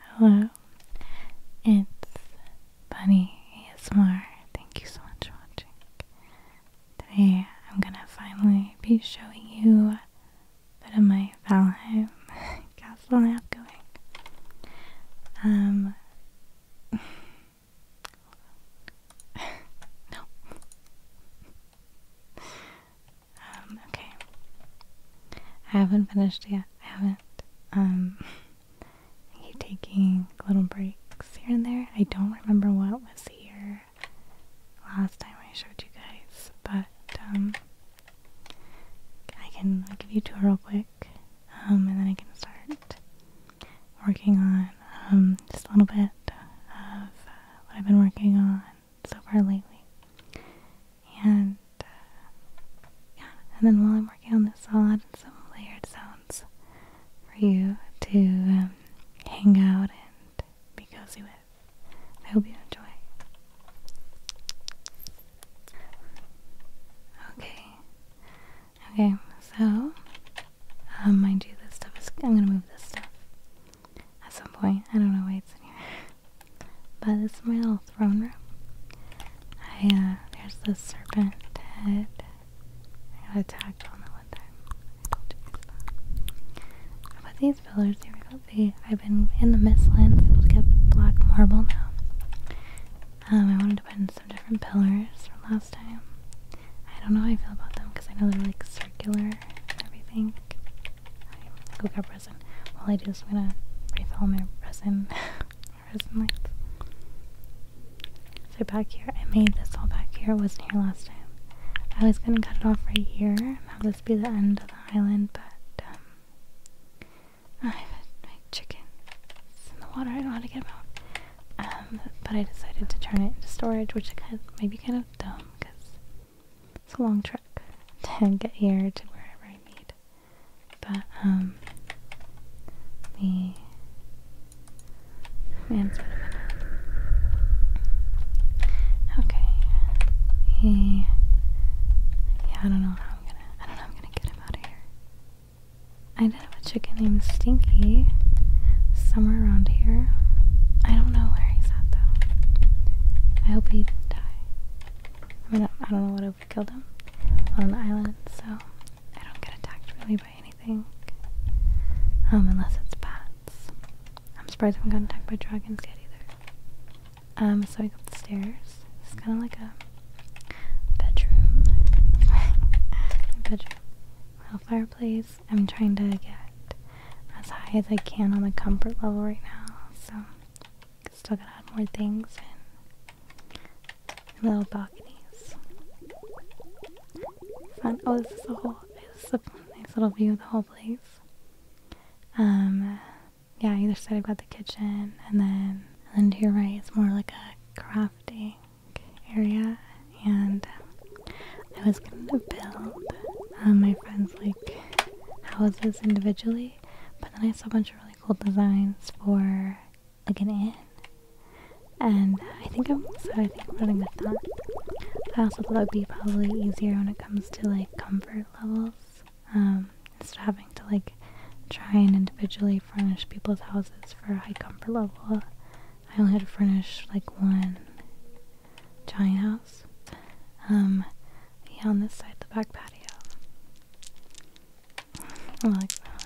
Hello, it's Bunny ASMR. Thank you so much for watching. Today I'm gonna finally be showing you a bit of my Valheim castle I have going. Um, no. Um, okay. I haven't finished yet. I haven't. I um, keep taking little breaks here and there. I don't remember what was here last time I showed you guys, but um, I can give you two real quick, and then I can start working on just a little bit of uh, what I've been working on so far lately. And uh, yeah, and then while I'm working on this, I'll add some layered sounds for you to um, hang out and be cozy with. I hope you enjoy. Okay. Okay, so mind you, this stuff is. I'm gonna move this stuff at some point. I don't know why it's in here. by this my little throne room. I, uh, there's the serpent head. I got attacked on that one time. I told you guys that. About these pillars, here we go. They, I've been in the Midlands, able to get black marble now. Um, I wanted to put in some different pillars from last time. I don't know how I feel about them because I know they're like circular and everything. Go grab resin. All I do is I'm gonna refill my resin, my resin lights. So back here, I made this all back here. wasn't here last time. I was gonna cut it off right here and have this be the end of the island, but um, I have my chicken. It's in the water. I don't know how to get him out. Um, but I decided to turn it into storage, which I kind of, maybe kind of dumb because it's a long trek to get here to wherever I need. But, um, the man Okay. He, yeah, I don't know how I'm gonna, I don't know how I'm gonna get him out of here. I do have a chicken named Stinky somewhere around here. I don't know where he's at though. I hope he didn't die. I mean, I don't know what would kill them on an island, so I don't get attacked really by anything. Um, unless it's bats. I'm surprised I haven't gotten attacked by dragons yet either. Um, so I go up the stairs. It's kind of like a bedroom. bedroom. Little fireplace. I'm trying to get as high as I can on the comfort level right now, so Still gonna add more things and little balconies. Fun. Oh, this is a whole. This nice little view of the whole place. Um, yeah. Either side, I've got the kitchen, and then and to your right, it's more like a crafting area. And um, I was gonna build uh, my friends like houses individually but then I saw a bunch of really cool designs for like an inn, and I think I'm so I think running with that. I also thought it would be probably easier when it comes to like comfort levels, um, instead of having to like try and individually furnish people's houses for a high comfort level. I only had to furnish like one giant house um, on this side, the back patio. I'm all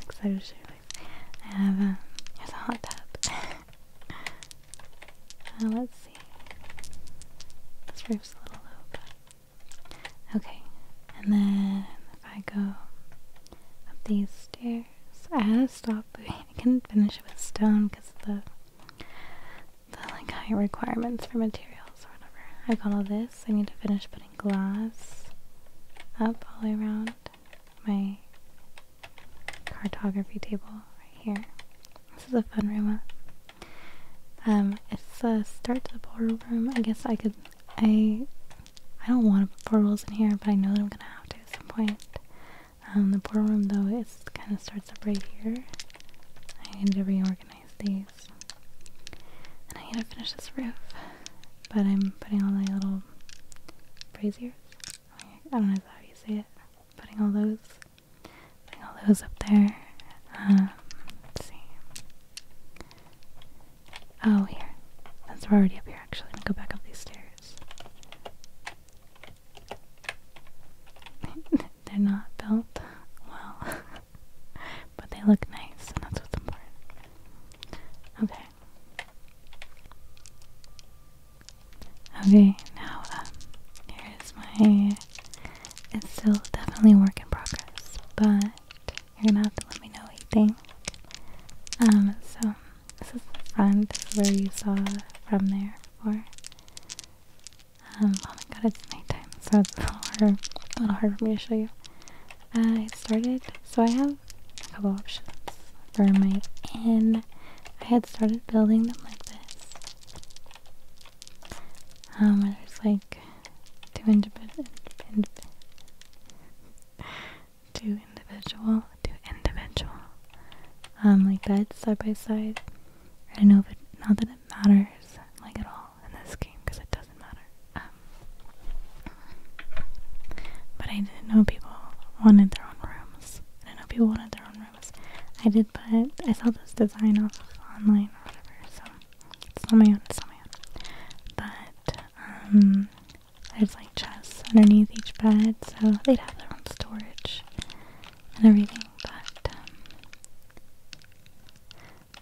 excited to show you. I have um, a, hot tub. Uh, let's see. This roof's a little low, but okay. And then if I go up these stairs, I had to stop. I couldn't finish it with stone because the the like high requirements for materials or whatever. I got all this. I need to finish putting glass up all the way around my cartography table right here. This is a fun room Um, it's a start to the portal room. I guess I could I I don't want to put portals in here, but I know that I'm gonna have to at some point. Um, the portal room though is kind of starts up right here. I need to reorganize these. And I gotta finish this roof. But I'm putting all my little braziers. I don't know how you say it. Putting all those, putting all those up there. Um, see. Oh, here. That's already up here, actually, I'm gonna go back up these stairs. They're not built well. but they look nice, and that's what's important. Okay. Okay, now um, here is my. It's still definitely a work in progress, but you're gonna have to let me know what you think. Um, so this is the front, where you saw from there before. Um, oh my god, it's nighttime, so it's a little hard, for me to show you. I started, so I have a couple options for my end. I had started building them like this. Um, where there's like two individual, two individual, two individual, um, like that side by side. I don't know if not that it matters, like at all in this game because it doesn't matter. Um, but I didn't know people wanted their own rooms. I didn't know people wanted their own rooms. I did, but I saw this design off of online or whatever, so it's not my own, it's not my own. But, um, there's like chests underneath each bed, so they'd have their own storage and everything, but, um,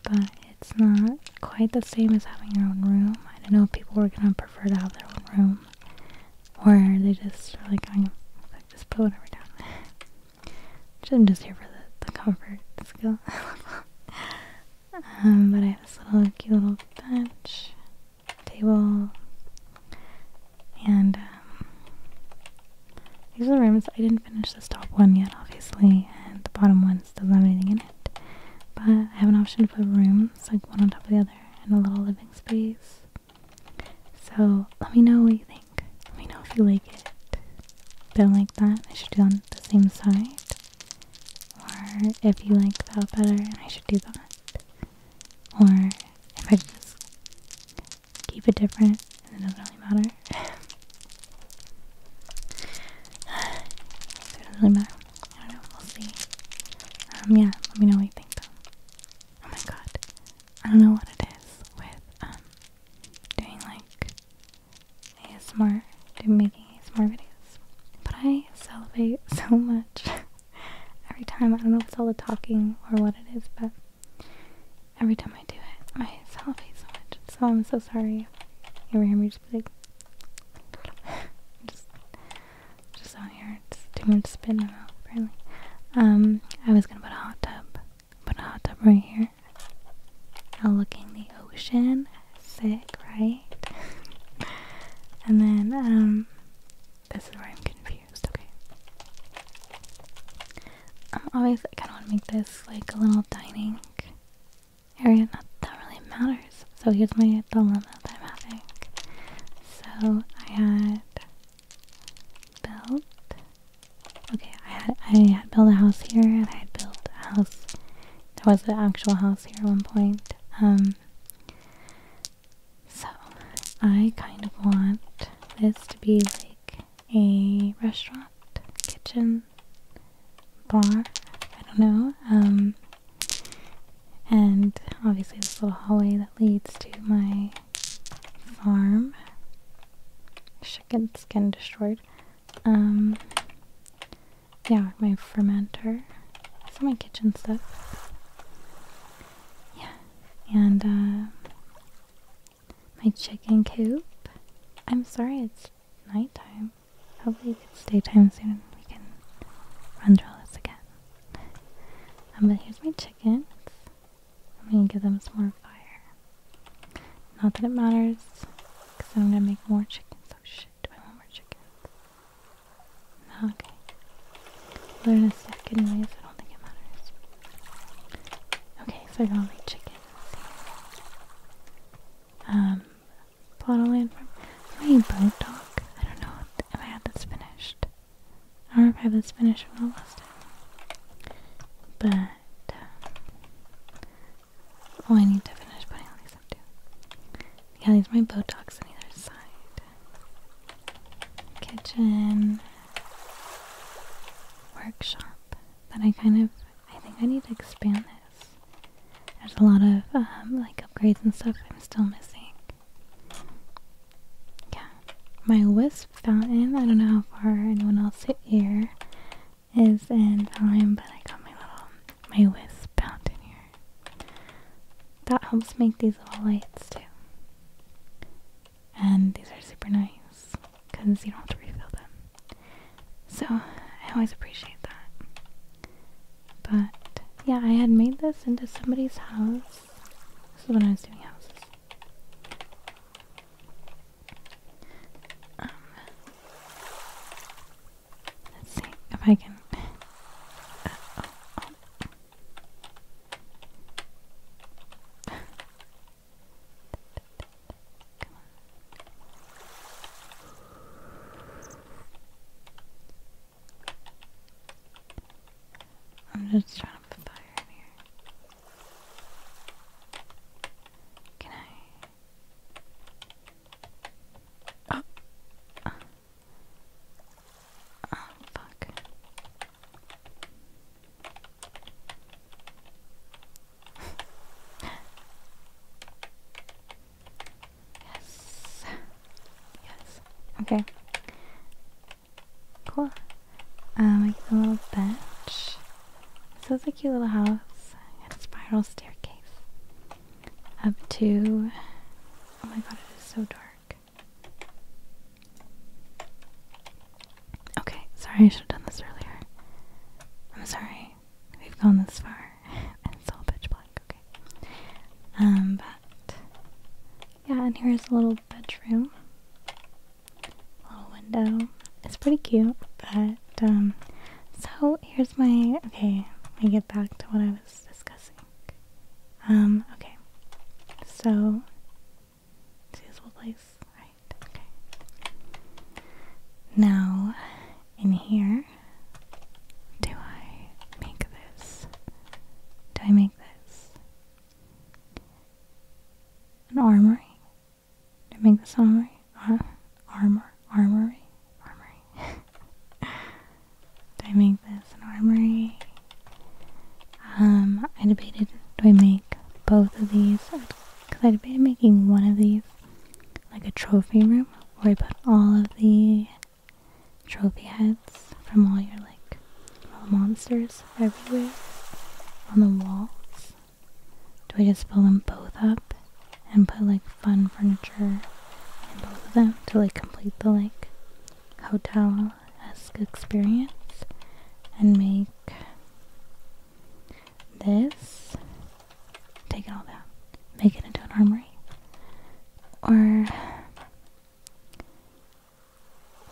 but it's not quite the same as having your own room. I don't know if people were gonna prefer to have their own room, or they just like, I'm like, just put whatever down. I'm just here for the, the comfort skill. um, but I have this little cute little bench, table, and um, these are the rooms. I didn't finish this top one yet, obviously, and the bottom one doesn't have anything in it. But I have an option to put rooms, like one on top of the other, and a little living space. So let me know what you think. Let me know if you like it. Don't like that, I should do on the same side. Or if you like that better, and I should do that. Or if I just keep it different and it doesn't really matter. it doesn't really matter. I don't know, we'll see. Um, yeah, let me know what you think though. Oh my god. I don't know what it is with, um, doing like ASMR, doing making ASMR videos. But I salivate so much every time. I don't know if it's all the talking or what it is, but Every time I do it, I salivate so much. So I'm so sorry. You ever hear me just be like, just, just on here, it's too much spit in my mouth, apparently. Um, I was gonna put a hot tub, put a hot tub right here. Overlooking the ocean, sick, right? and then, um, this is where I'm confused, okay? I'm always kind of want to make this like a little dining area. Not that really matters. So here's my dilemma that I'm having. So I had built. Okay, I had I had built a house here, and I had built a house. There was an actual house here at one point. Um. So I kind of want this to be like a restaurant, kitchen, bar, I don't know. Um, and obviously, this little hallway that leads to my farm. Chicken's getting destroyed. Um, yeah, my fermenter. Some my kitchen stuff. Yeah, and uh, my chicken coop. I'm sorry it's nighttime. Hopefully it's daytime soon we can run through this again. Um, but here's my chickens. I'm gonna give them some more fire. Not that it matters, because I'm gonna make more chickens. Oh shit, do I want more chickens? No, okay. Learn a second ways, I don't think it matters. Okay, so I got my chickens. Um, Plotland from my boat talk. I don't know if I had this finished. I don't know if I have this finished from the last But oh, I need to finish putting on these up too. Yeah, these are my boat docks on either side. Kitchen workshop that I kind of I think I need to expand this. There's a lot of um, like upgrades and stuff I'm still missing. Yeah, my wisp fountain. I don't know how far anyone else here is in time, but I got my little my wisp fountain here. That helps make these little lights too, and these are super nice because you don't have to refill them. So I always appreciate that. But yeah, I had made this into somebody's house. This is when I was doing houses. Um, let's see if I can. Uh, oh, oh. Come on. I'm just trying to put fire in here. Can I? Oh. Oh, fuck yes. Yes. Okay. Cool. Um, we get a little bench. So it's a cute little house. And a spiral staircase. Up to... Oh my god, it is so dark. Okay, sorry I should have done this earlier. I'm sorry. We've gone this far. and it's all pitch black, okay. Um, but yeah, and here's a little bedroom. Little window. It's pretty cute, but um so here's my okay, let me get back to what I was discussing. Um, okay. So Suitable place. Right, okay. Now, in here, do I make this? Do I make this? An armory? Do I make this armory? Ar Armory? Armory. do I make this an armory? Um, I debated do I make both of these because i I'd be making one of these like a trophy room where I put all of the trophy heads from all your like monsters everywhere on the walls. Do I just fill them both up and put like fun furniture in both of them to like complete the like hotel esque experience and make this, take it all down, make it into an armory, or,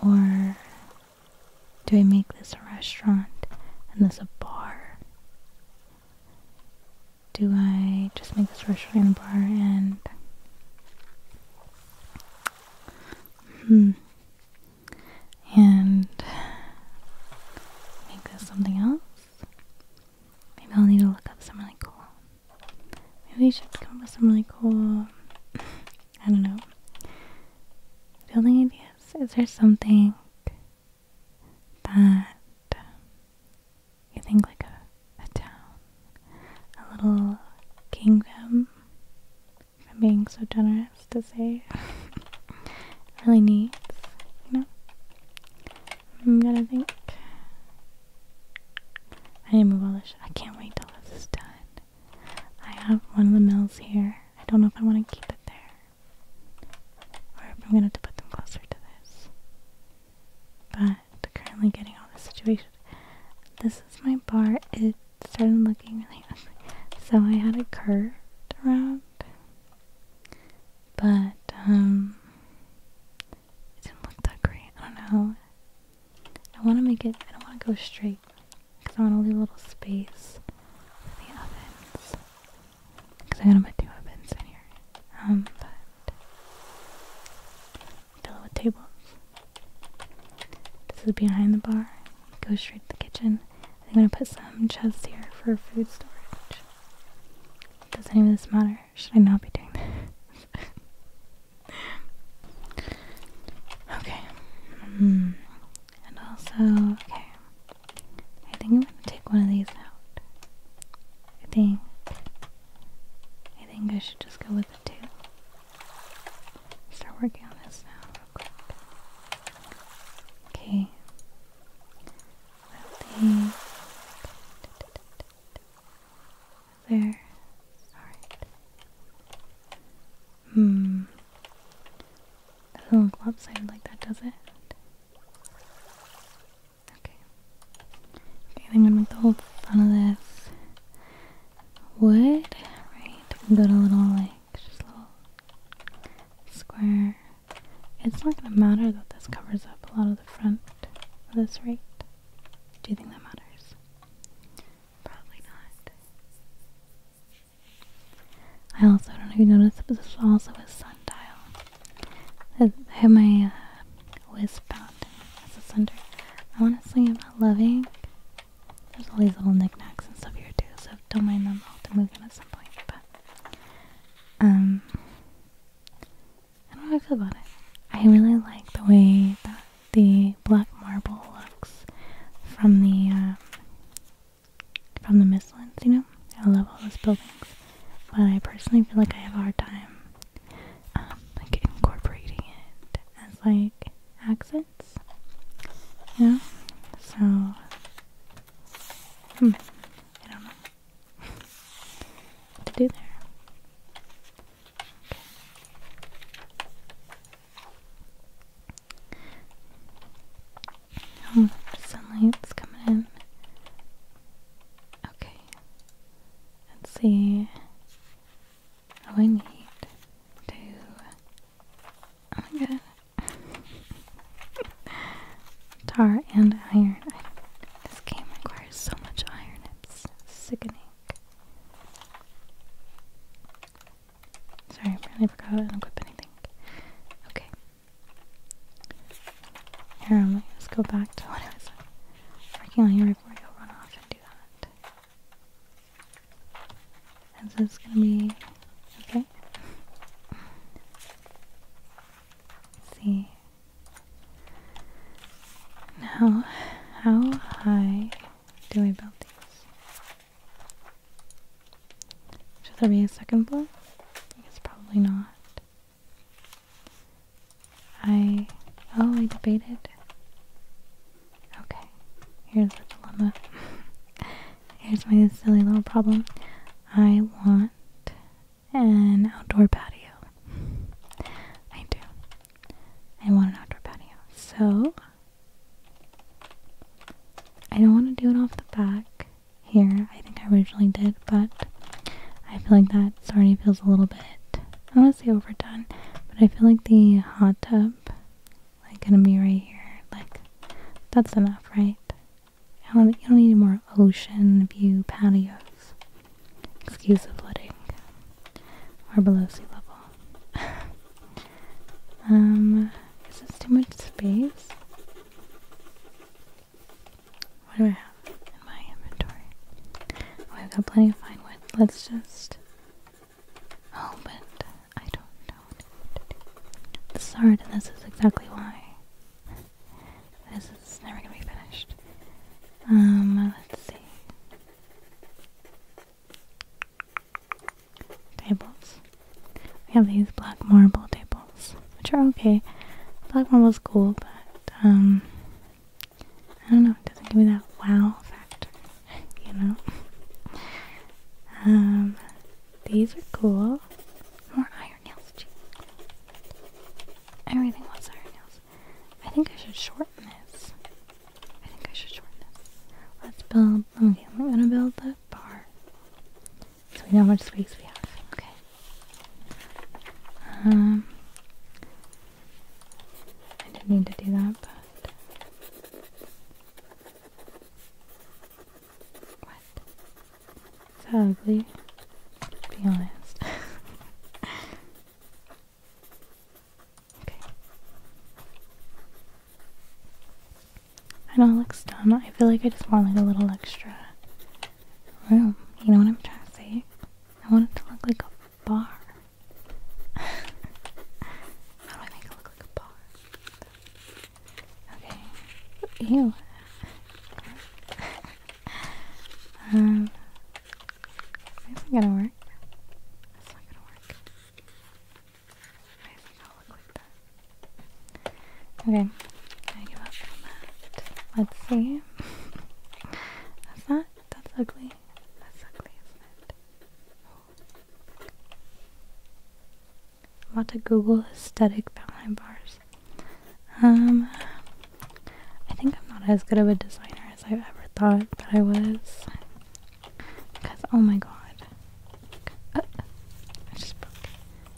or do I make this a restaurant and this a bar? Do I just make this restaurant and bar and, hmm, and make this something else. Maybe I'll need to look up some really cool. Maybe we should come up with some really cool, I don't know, building ideas. Is there something that you think like a town, a little kingdom if I'm being so generous to say. really neat, you know? I'm gonna think. I need to move all this I can't wait till this is done. I have one of the mills here. I don't know if I want to keep it there. Or if I'm gonna have to put them closer to this. But currently getting all this situation. This is my bar. It started looking really ugly. So I had a curve around but, um, it didn't look that great. I don't know. I want to make it, I don't want to go straight because I want to leave a little space for the ovens. Because I gotta put two ovens in here. Um, but, fill it with tables. This is behind the bar. Go straight to the kitchen. I'm gonna put some chests here for food storage. Does any of this matter? Should I not be doing this? okay. Mm. And also, okay. I think I'm gonna take one of these out. I think. I think I should just go with the two. Start working on this now, real quick. Okay. Well, they... There. Alright. Hmm. Doesn't look lopsided like that, does it? Okay. Okay, I'm gonna make the whole front of this wood. Right, we got a little like like just little square. It's not gonna matter that this covers up a lot of the front at this right? Do you think that matters? Probably not. I also don't know if you noticed, but this is also a sundial. I have my uh, whiz fountain as a center. Honestly, I'm not loving. There's all these little knickknacks and stuff here too, so so don't mind them. I'll have to move them at some point. But um, I do I feel about it. I really like the way that the black marble looks from the um, from the Mistlands. You know, I love all those buildings, but I personally feel like I have a hard time um, like incorporating it as like accents. You know, so. Hmm. I don't know what to do there. Okay. Oh, sunlight's coming in. Okay. Let's see. All I need to Oh my god. Tar and iron. this game requires so much iron, it's sickening. Sorry, I finally forgot I didn't equip anything. Okay. Here, let's go back to what I was working on here before I go run off and do that. And so it's gonna be okay. see. Now, how high do we build these? Should there be a second floor? I it's probably not. I. Oh, I debated. Okay, here's the dilemma. Here's my silly little problem. I want an outdoor patio. I do. I want an outdoor patio. So, I don't want to do it off the back here. I think I originally did, but I feel like that already feels a little bit, I don't want to say overdone, but I feel like the hot tub like gonna be right here. Like that's enough, right? I don't, you don't need more ocean view patios. Excuse the flooding. we below sea level. um, is this too much space? What do I have in my inventory? I've got plenty of fine wood. Let's just. Oh, but I don't know. This is and this is exactly why. This is never gonna be finished. Um, let's see. Tables. We have these black marble tables, which are okay. Black marble's cool, but, um, I don't know, it doesn't give me that wow factor, you know? Um, these are cool. More iron nails. Gee. Everything wants iron nails. I think I should shorten this. I think I should shorten this. Let's build. Okay, we're gonna build the bar. So we know how much space we have. Okay. Um. I didn't need to do that, but. What? Is that ugly? let be honest. okay. I know it looks dumb. I feel like I just want like a little extra room. You know what I'm trying to say? I want it to look like a bar. How do I make it look like a bar? Okay. Ew. um, isn't gonna work. That's not gonna work. Why does it not look like that? Okay. I give up on that. Let's see. that's not. That's ugly. That's ugly, is it? About to Google aesthetic behind bars. Um, I think I'm not as good of a designer as I've ever thought that I was. Because, oh my god. Uh, I just broke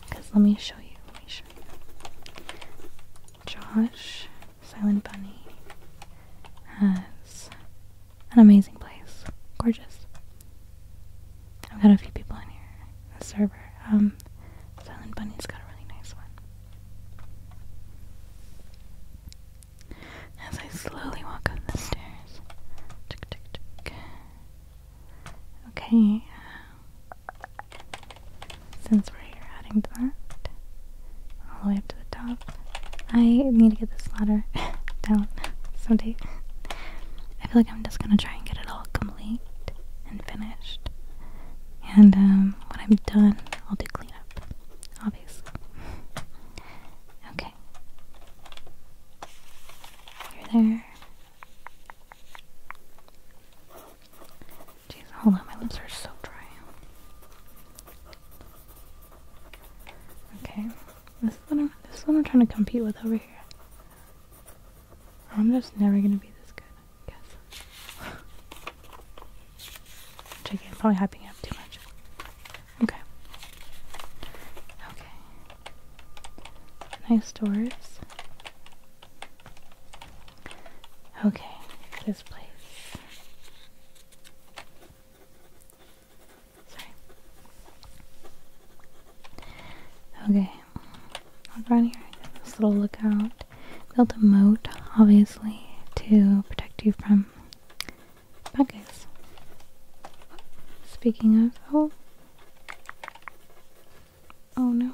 Because let me show you. Let me show you. Josh, Silent Bunny, has an amazing place. Gorgeous. I've got a few people in here. The server. Um, Silent Bunny's got a really nice one. As I slowly walk up the stairs. Tick, tick, tick. Okay. Uh, since we're here adding to that, all the way up to the top, I need to get this ladder down someday. I feel like I'm just gonna try and get it all complete and finished. And um, when I'm done, I'll do cleanup, obviously. okay. You're there. Jeez, hold on, my lips are so dry. Okay, this is this is what I'm trying to compete with over here. I'm just never gonna be this good, I guess. Which again, probably hyping up too much. Okay. Okay. Nice doors. Okay, this place. Sorry. Okay. Look around here. This little lookout. Built a moat, obviously, to protect you from bad guys. Speaking of, oh, oh no.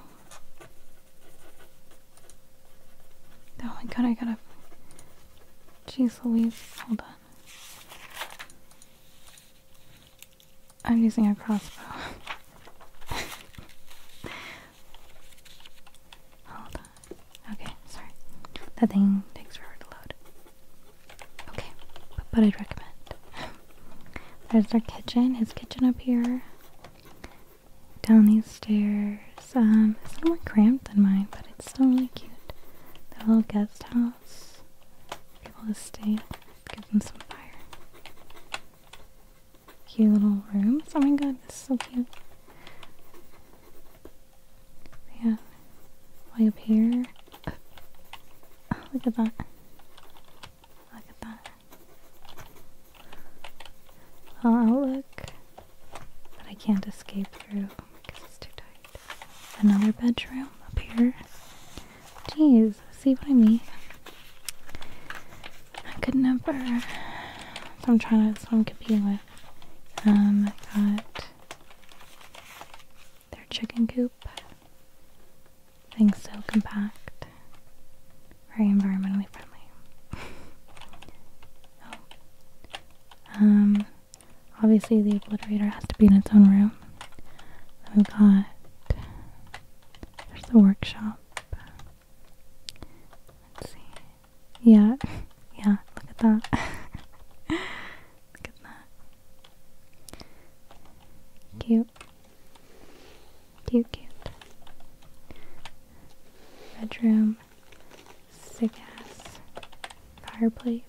Oh my god, I gotta. Jeez Louise, hold on. I'm using a crossbow. Hold on. Okay, sorry. That thing takes forever to load. Okay, but, I'd recommend. There's their kitchen, his kitchen up here. Down these stairs. Um, it's more cramped than mine, but it's still really cute. The little guest house able to stay. Give them some fire. Cute little rooms. Oh my god, this is so cute. Yeah, way up here. Oh, look at that. Look at that. Well, outlook, but I can't escape through because it's too tight. Another bedroom up here. Jeez, see what I mean? I could never. So I'm trying to. So I'm competing with. Um, I got their chicken coop. Things so compact, very environmentally friendly. Oh. Um, obviously the obliterator has to be in its own room room. We've got there's the workshop. Let's see. Yeah, yeah, look at that. look at that. Cute. Cute, cute. Bedroom. Sick ass. Fireplace.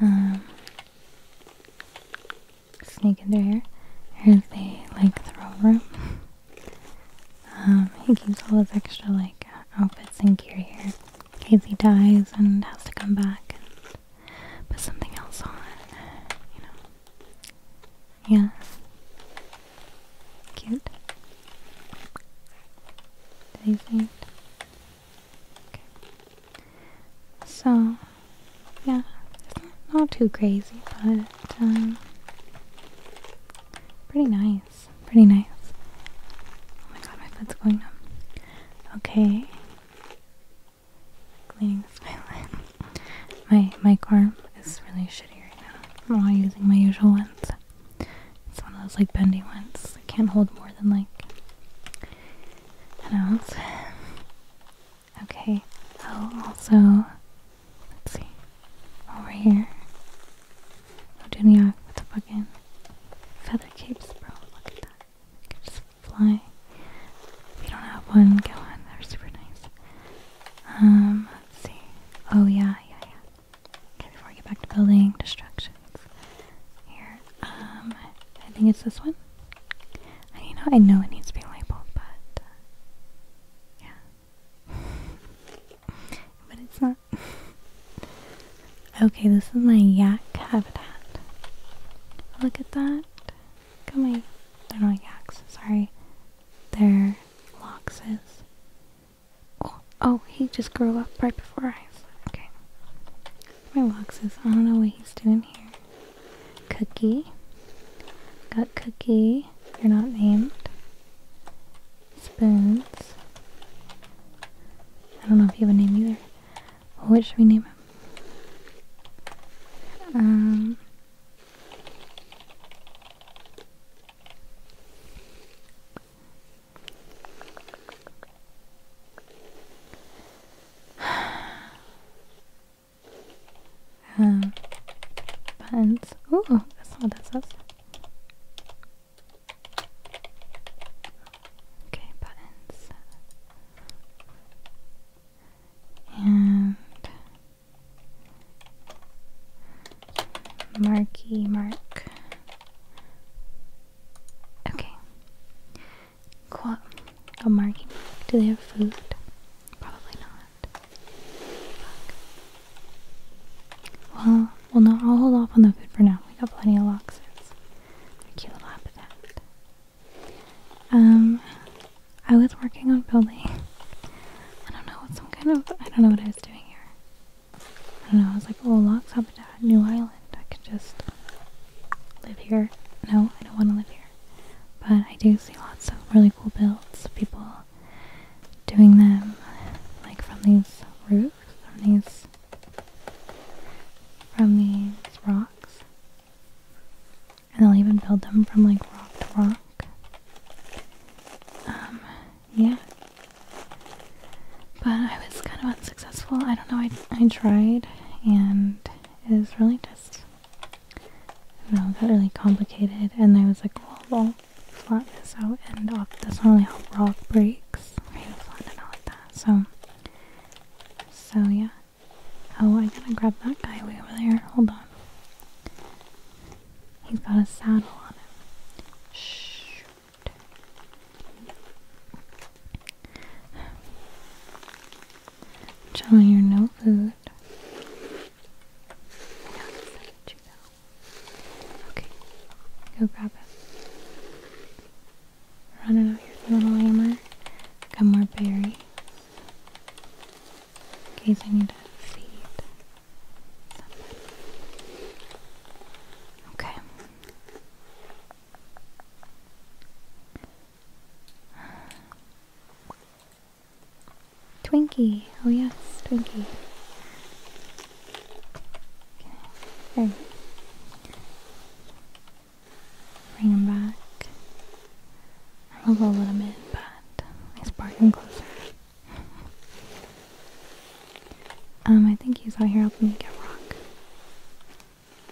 Um, sneak in their hair. Here's the like throw room. Um, he keeps all his extra like outfits and gear here in case he dies and has to come back and put something else on. You know. Yeah. Cute. Did he so, yeah, it's not, not too crazy, but um, pretty nice. Pretty nice. Oh my god, my foot's going numb. Okay. Cleaning this violin. My my arm is really shitty right now. I'm not using my usual ones. It's one of those like bendy ones. I can't hold more than like an ounce. Okay. Oh, also, let's see. Over here. Oh, do me Oduniak with the fucking feather capes, bro. Look at that. You can just flying. If you don't have one, get one. They're super nice. Um, let's see. Oh, yeah, yeah, yeah. Okay, before I get back to building distractions, here, um, I think it's this one. I you know I know it needs to be labeled, but uh, yeah, but it's not. okay, this is my yak habitat. Look at that. Look at my. They're not yaks. Sorry, they're loxes. Oh, he just grew up right before I Okay. My boxes. I don't know what he's doing here. Cookie. Got Cookie. They're not named. Spoons. I don't know if you have a name either. What should we name him? Um um, buttons. Ooh, that's not what that says. Okay, buttons. And Marky Mark. Okay. Qua a marking. Do they have food? Probably not. Well, well, no. I'll hold off on the food for now. We got plenty of loxers. They're cute little habitat. Um, I was working on building. I don't know some kind of. I don't know what I was doing here. I don't know, I was like, oh, Lock's Habitat, New Island. I could just live here. No, I don't want to live here. But I do see lots of really cool builds, people doing them, like from these roofs, from these, from these rocks. And they'll even build them from like rock to rock. Um, yeah. But I was kind of unsuccessful. I don't know. I, I tried, and it was really just, I got really complicated. And I was like, well, well, flatten this out, and off. that's not really how rock breaks. Right, flatten it out that. So, so yeah. Oh, I gotta grab that guy way over there. Hold on. He's got a saddle on him. Shh. Charlie, you're no food. Okay, go grab it. Running out your little hammer. Got more berry. Okay, I need to feed somebody. Okay. Twinkie. Oh yes, Twinkie. Okay. Bring him back. I'll a little bit, but let's park him closer. Um, I think he's out here helping me get rock.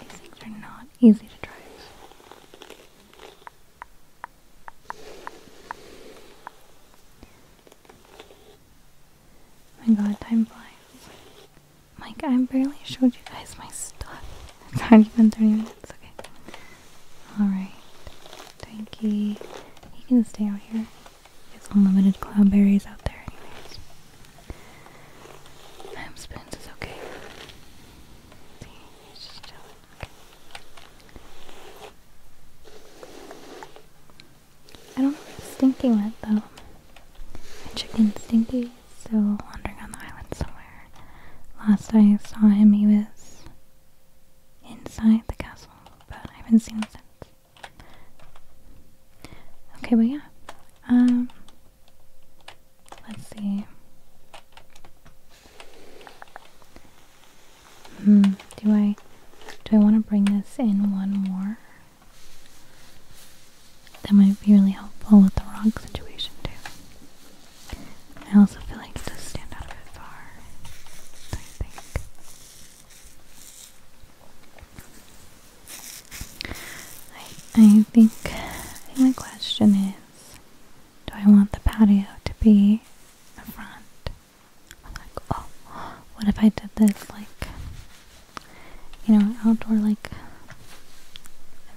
These things are not easy to drive. Oh my god, time flies. Mike, I barely showed you guys my stuff. It's already been 30 minutes, okay. Alright. Thank you. He can stay out here. There's unlimited cloudberries out there anyways. Ham spoons is okay. I don't know where Stinky went though. My chicken Stinky is still wandering on the island somewhere. Last I saw him he was inside the castle, but I haven't seen him since. Okay, well, yeah. Um, let's see. Hmm, do I do I wanna bring this in one more? That might be really helpful with the rock situation too. I also feel like it does stand out a bit far. I think. I, I think I my question is do I want the patio to be the front? like, oh, what if I did this like you know, outdoor like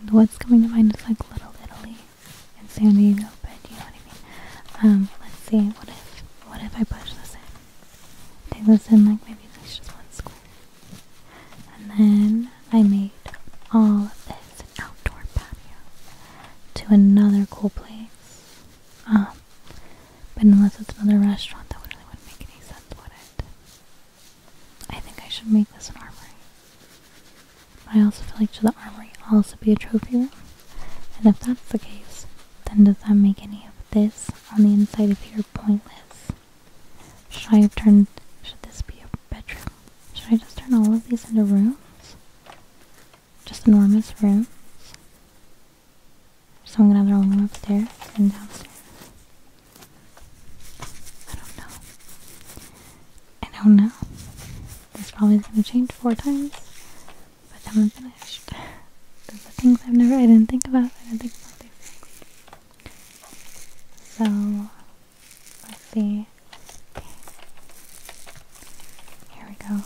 and what's coming to mind is like Little Italy in San Diego, but you know what I mean. Um, let's see, what if what if I push this in? They this in like maybe there's just one square. And then I made all of this outdoor patio to another cool place. Um, but unless it's another restaurant, that really wouldn't make any sense, would it? I think I should make this an armory. I also feel like should the armory also be a trophy room? And if that's the case, then does that make any of this on the inside of here pointless. Should I turn? Should this be a bedroom? Should I just turn all of these into rooms? Just enormous rooms? So I'm gonna have their own room upstairs and downstairs. I don't know. I don't know. This probably is gonna change four times But the time I'm gonna. The things I've never, I didn't think about, I didn't think about these things. So, let's see. Okay. Here we go.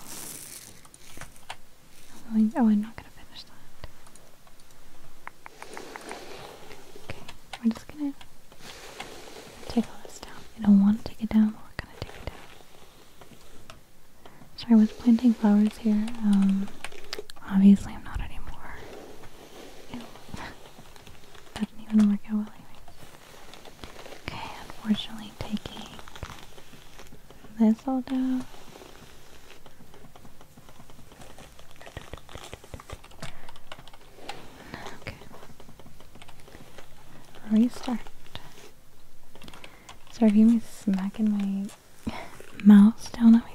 oh, oh I'm not going to finish that. Okay, we're just going to take all this down. I don't want to take it down, but we're going to take it down. So I was planting flowers here. Um, obviously I'm not anymore. that didn't even work out well anyway. Okay, unfortunately taking this all down. Okay. Restart. Sorry if you me smacking my mouse down on way.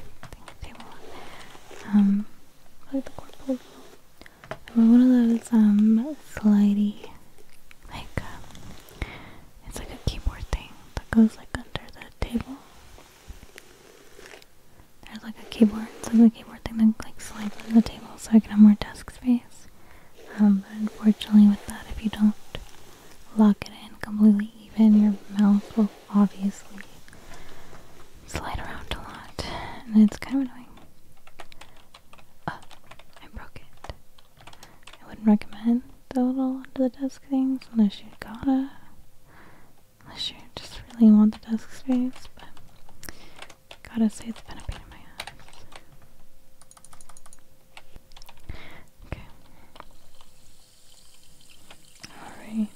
Table. Um, like the corporal. Or one of those um slidey, like uh, it's like a keyboard thing that goes like under the table. There's like a keyboard. so like the keyboard thing that like slides under the table, so I can have more desk space. Um, but unfortunately, with that, if you don't lock it in completely even. Your mouth will obviously slide around a lot, and it's kind of annoying. Uh, I broke it. I wouldn't recommend the little under the desk things unless you gotta, unless you just really want the desk space. But gotta say, it's been a pain in my ass. Okay. Alright.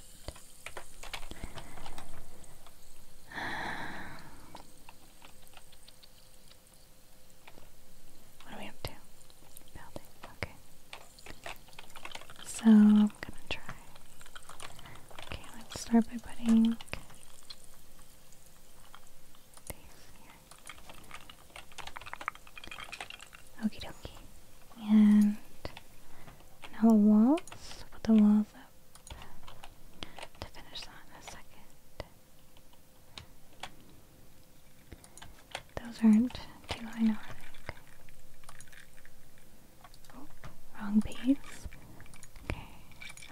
What are we up to? Building. Okay. So I'm gonna try. Okay, let's start by putting these here. Okay, dokie. And now the walls. Put the walls up to finish that in a second. Those aren't too ironic. Oh, wrong piece. Okay,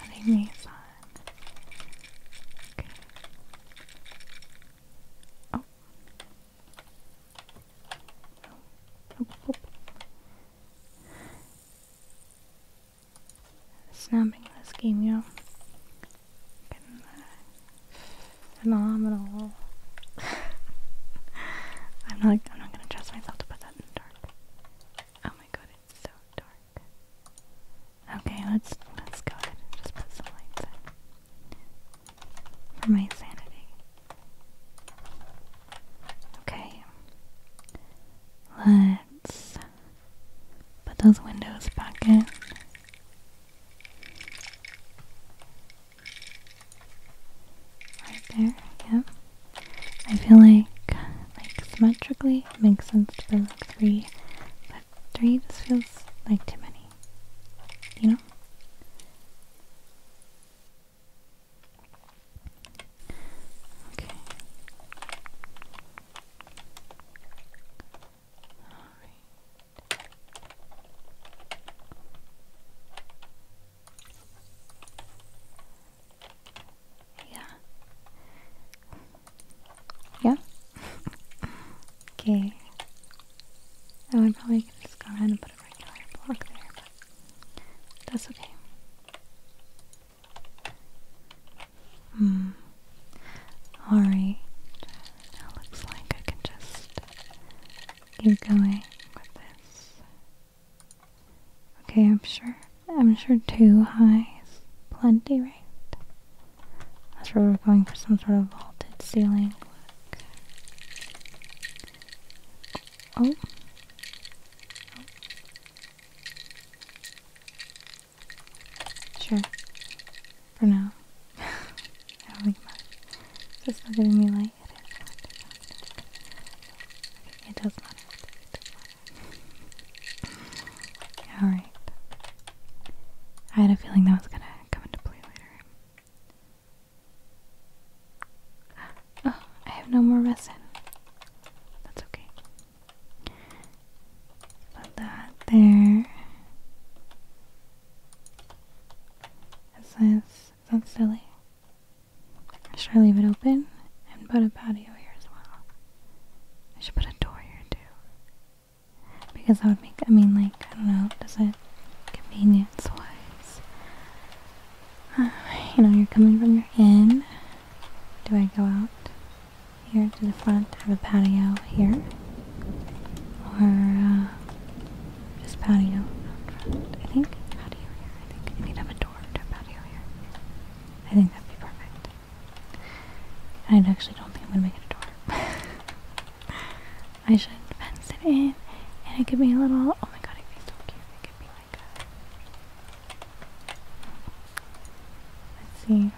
I these on. Okay. Oh, Snapping this game, you know. phenomenal. I'm not. I'm not gonna trust myself to put that in the dark. Oh my god, it's so dark. Okay, let's let's go ahead and just put some for my sanity. Okay. Let's put those windows back in. Right there, yeah. I feel like like symmetrically makes sense to for three, but three just feels like too many you Okay. All right. Yeah. Yeah. Okay. Oh, I probably could just go ahead and put a regular block there, but that's okay. Hmm. Alright. Now looks like I can just keep going with this. Okay, I'm sure. I'm sure two highs, plenty, right? That's where we're going for some sort of vaulted ceiling. Oh. Sure. For now. I don't think much. It's not giving me light. It does matter. Alright. I had a feeling that was gonna come into play later. Oh, I have no more resin. That's okay. Put that there. Is this that silly? Should I leave it open and put a patio here as well? I should put a door here too. Because that would make, I mean, like, I don't know, does it convenience wise? you know, you're coming from your inn. Do I go out here to the front? have a patio here. Or, uh, just patio out front, I think. Patio here, I think. I need to have a door to patio here. I think that'd be perfect. I actually don't think I'm gonna make it a door. I should fence it in, and it could be a little. Oh my god, it could be so cute. It could be like Let's see.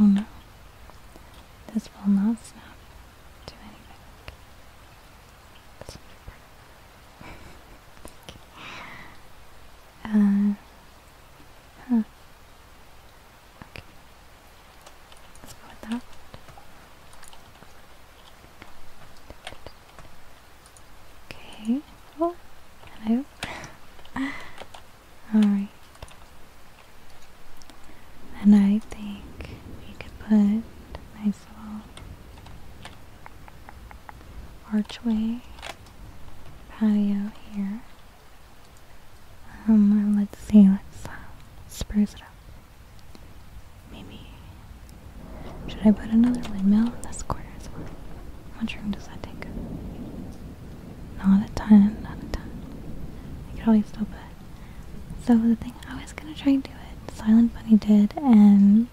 Oh no, this will not snap to anything. That's okay. Uh, huh. Okay. Let's go that. Okay. Oh, hello. Alright. And I think we could put a nice little archway patio here. Um, let's see, let's uh, spruce it up. Maybe, should I put another windmill in this corner as well? How much room does that take? Not a ton, not a ton. I could always still put. So the thing I was gonna try and do it, Silent Bunny did, and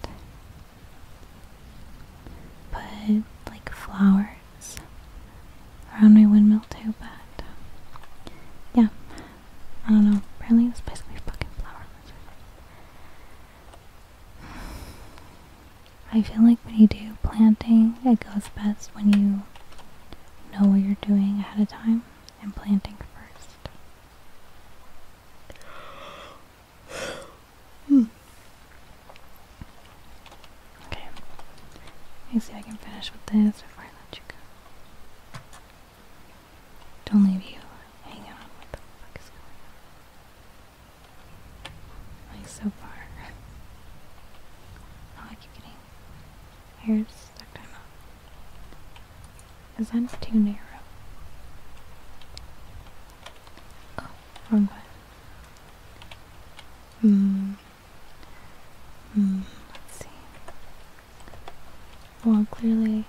put like flowers around my windmill too, but yeah, I don't know. Apparently, it's basically fucking flower I feel like when you do planting, it goes best when you know what you're doing ahead of time and planting first. Hmm. Okay. Let me see if I can finish with this before I let you go. Don't leave you hanging on. What the fuck is going Like so far. oh, I keep getting hairs stuck to my mouth. too narrow. Oh, wrong button. Hmm. Mm, let's see. Well, clearly,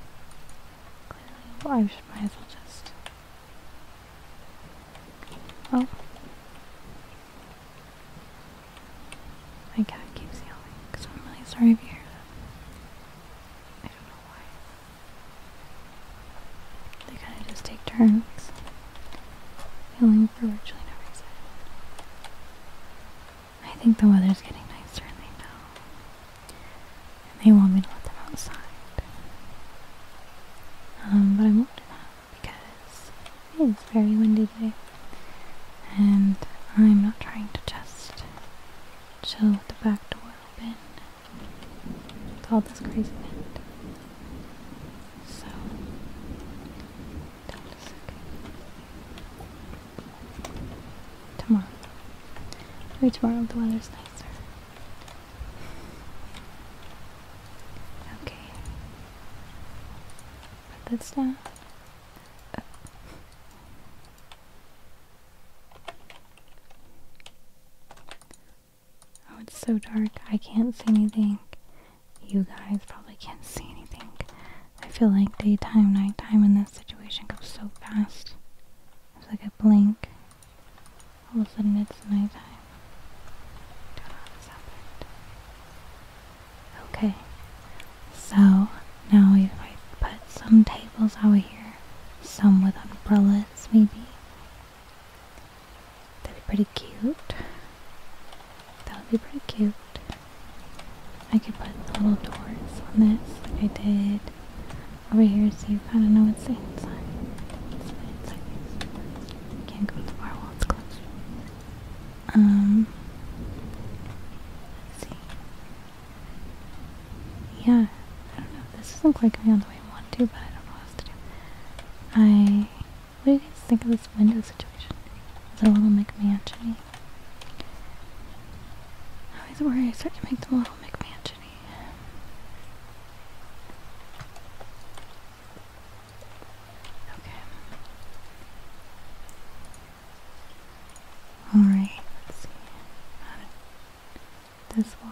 clearly, well, I should, might as well just. Oh. My cat keeps yelling, because I'm really sorry if you hear that. I don't know why. They kind of just take turns. Feeling for virtually no reason. I think the weather's getting nicer and they know. And they want me to let them outside. Um, but I won't do that because it's very windy today. And I'm not trying to just chill with the back door open. It's all this crazy wind. So okay. Tomorrow. Maybe tomorrow the weather's nicer. Okay. Put this down. Oh, it's so dark. I can't see anything. You guys probably can't see anything. I feel like daytime, nighttime in this situation goes so fast. It's like a blink. All of a sudden it's nighttime. Okay, so now we I put some tables out here, some with umbrellas maybe, That'd be pretty cute. That would be pretty cute. I could put little doors on this like I did over here so you kind of know what's inside. Can't go to the bar while it's closed. Um, see. Yeah, I don't know. This doesn't quite go on the way I want to, but I don't know what else to do. I what do you guys think of this window situation? Is it a little McMansion-y? I always worry I start to make them a little mcmansion Okay. Alright, let's see. This wall.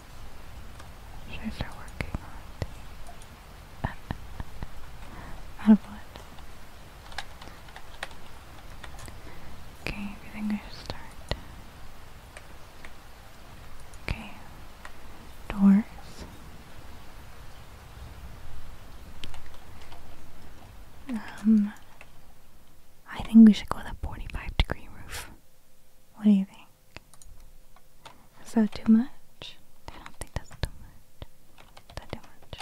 Should I start working on it? what? Okay, if think I should start. Okay. Doors. Um I think we should go with a 45 degree roof. What do you think? Is that too much? I don't think that's too much. That too much.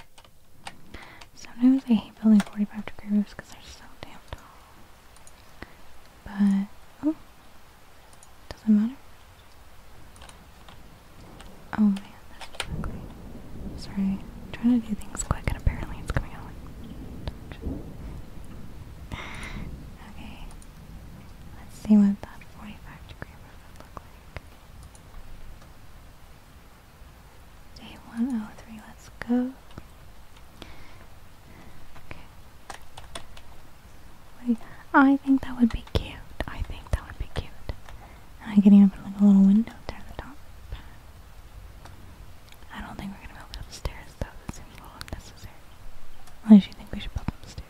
Sometimes I hate building 45 degree roofs because they're so damn tall. But, oh, doesn't matter. Oh man, that's so great. Sorry, trying to do things quick and apparently it's coming out like... Okay, Let's see what that 45 degree roof would look like. Day 103, let's go. Okay. Wait, I think that would be cute. I think that would be cute. I can even put like a little window there at the top. I don't think we're gonna build it upstairs though. That seems a little unnecessary. Unless you think we should build upstairs.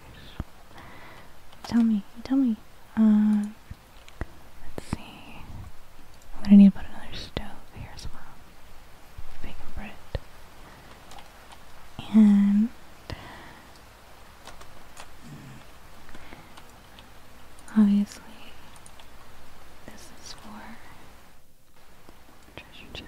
Tell me, tell me. Um, let's see. I'm gonna need to put another stove here as well. Bacon bread. And obviously, this is for treasure chest.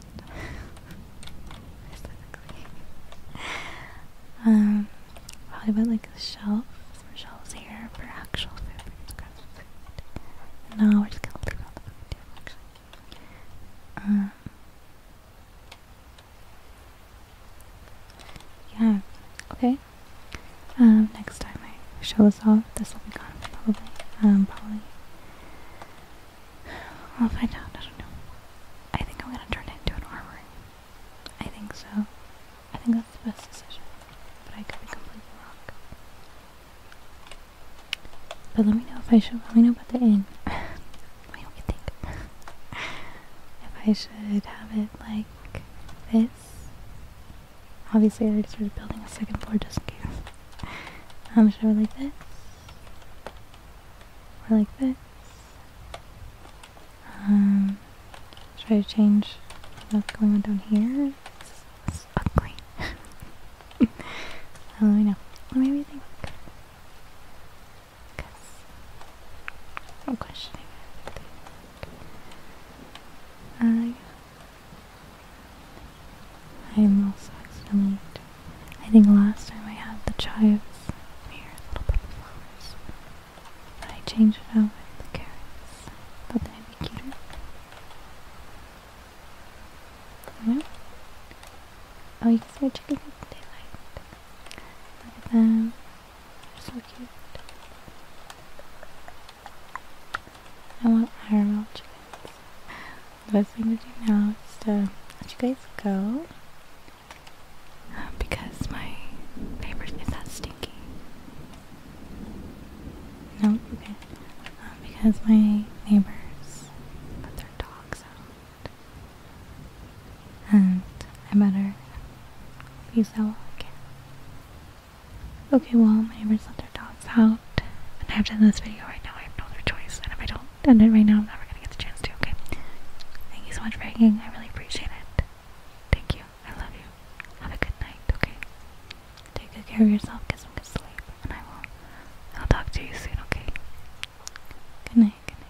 um, probably about like a shelf, some shelves here for actual No, we're just gonna leave all the food um, yeah, okay. Um, next time I show this off, this will be gone probably. Um, probably I'll find out. I don't know. I think I'm gonna turn it into an armory. I think so. I think that's the best decision. But I could be completely wrong. But let me know if I should. Let me know about the end. let me you think. if I should have it like this. Obviously, I already started building a second floor just in case. Um, should I like this? Or like this. Um, try to change what's going on down here. This ugly. let me know. Let me rethink. Because i I, I'm also accidentally I think last time I had the chives here here's a little bit of flowers. But I changed it out with the carrots. Thought that would be cuter. No? Oh, you can see my chickens in daylight. Look at them. They're so cute. I want IRL chickens the best thing to do now is to let you guys go. Because my neighbor is that stinky. No? Okay. Um, because my neighbors let their dogs out. And I better use that Okay, well, my neighbors let their dogs out. And I have done this video right now. I have no other choice. And if I don't done it right now. I'm never gonna get the chance to. Okay. Thank you so much for hanging. I really appreciate it. Thank you. I love you. Have a good night. Okay. Take good care of yourself. Cause I'm gonna sleep, and I will. I'll talk to you soon. Okay. Good night. Good night.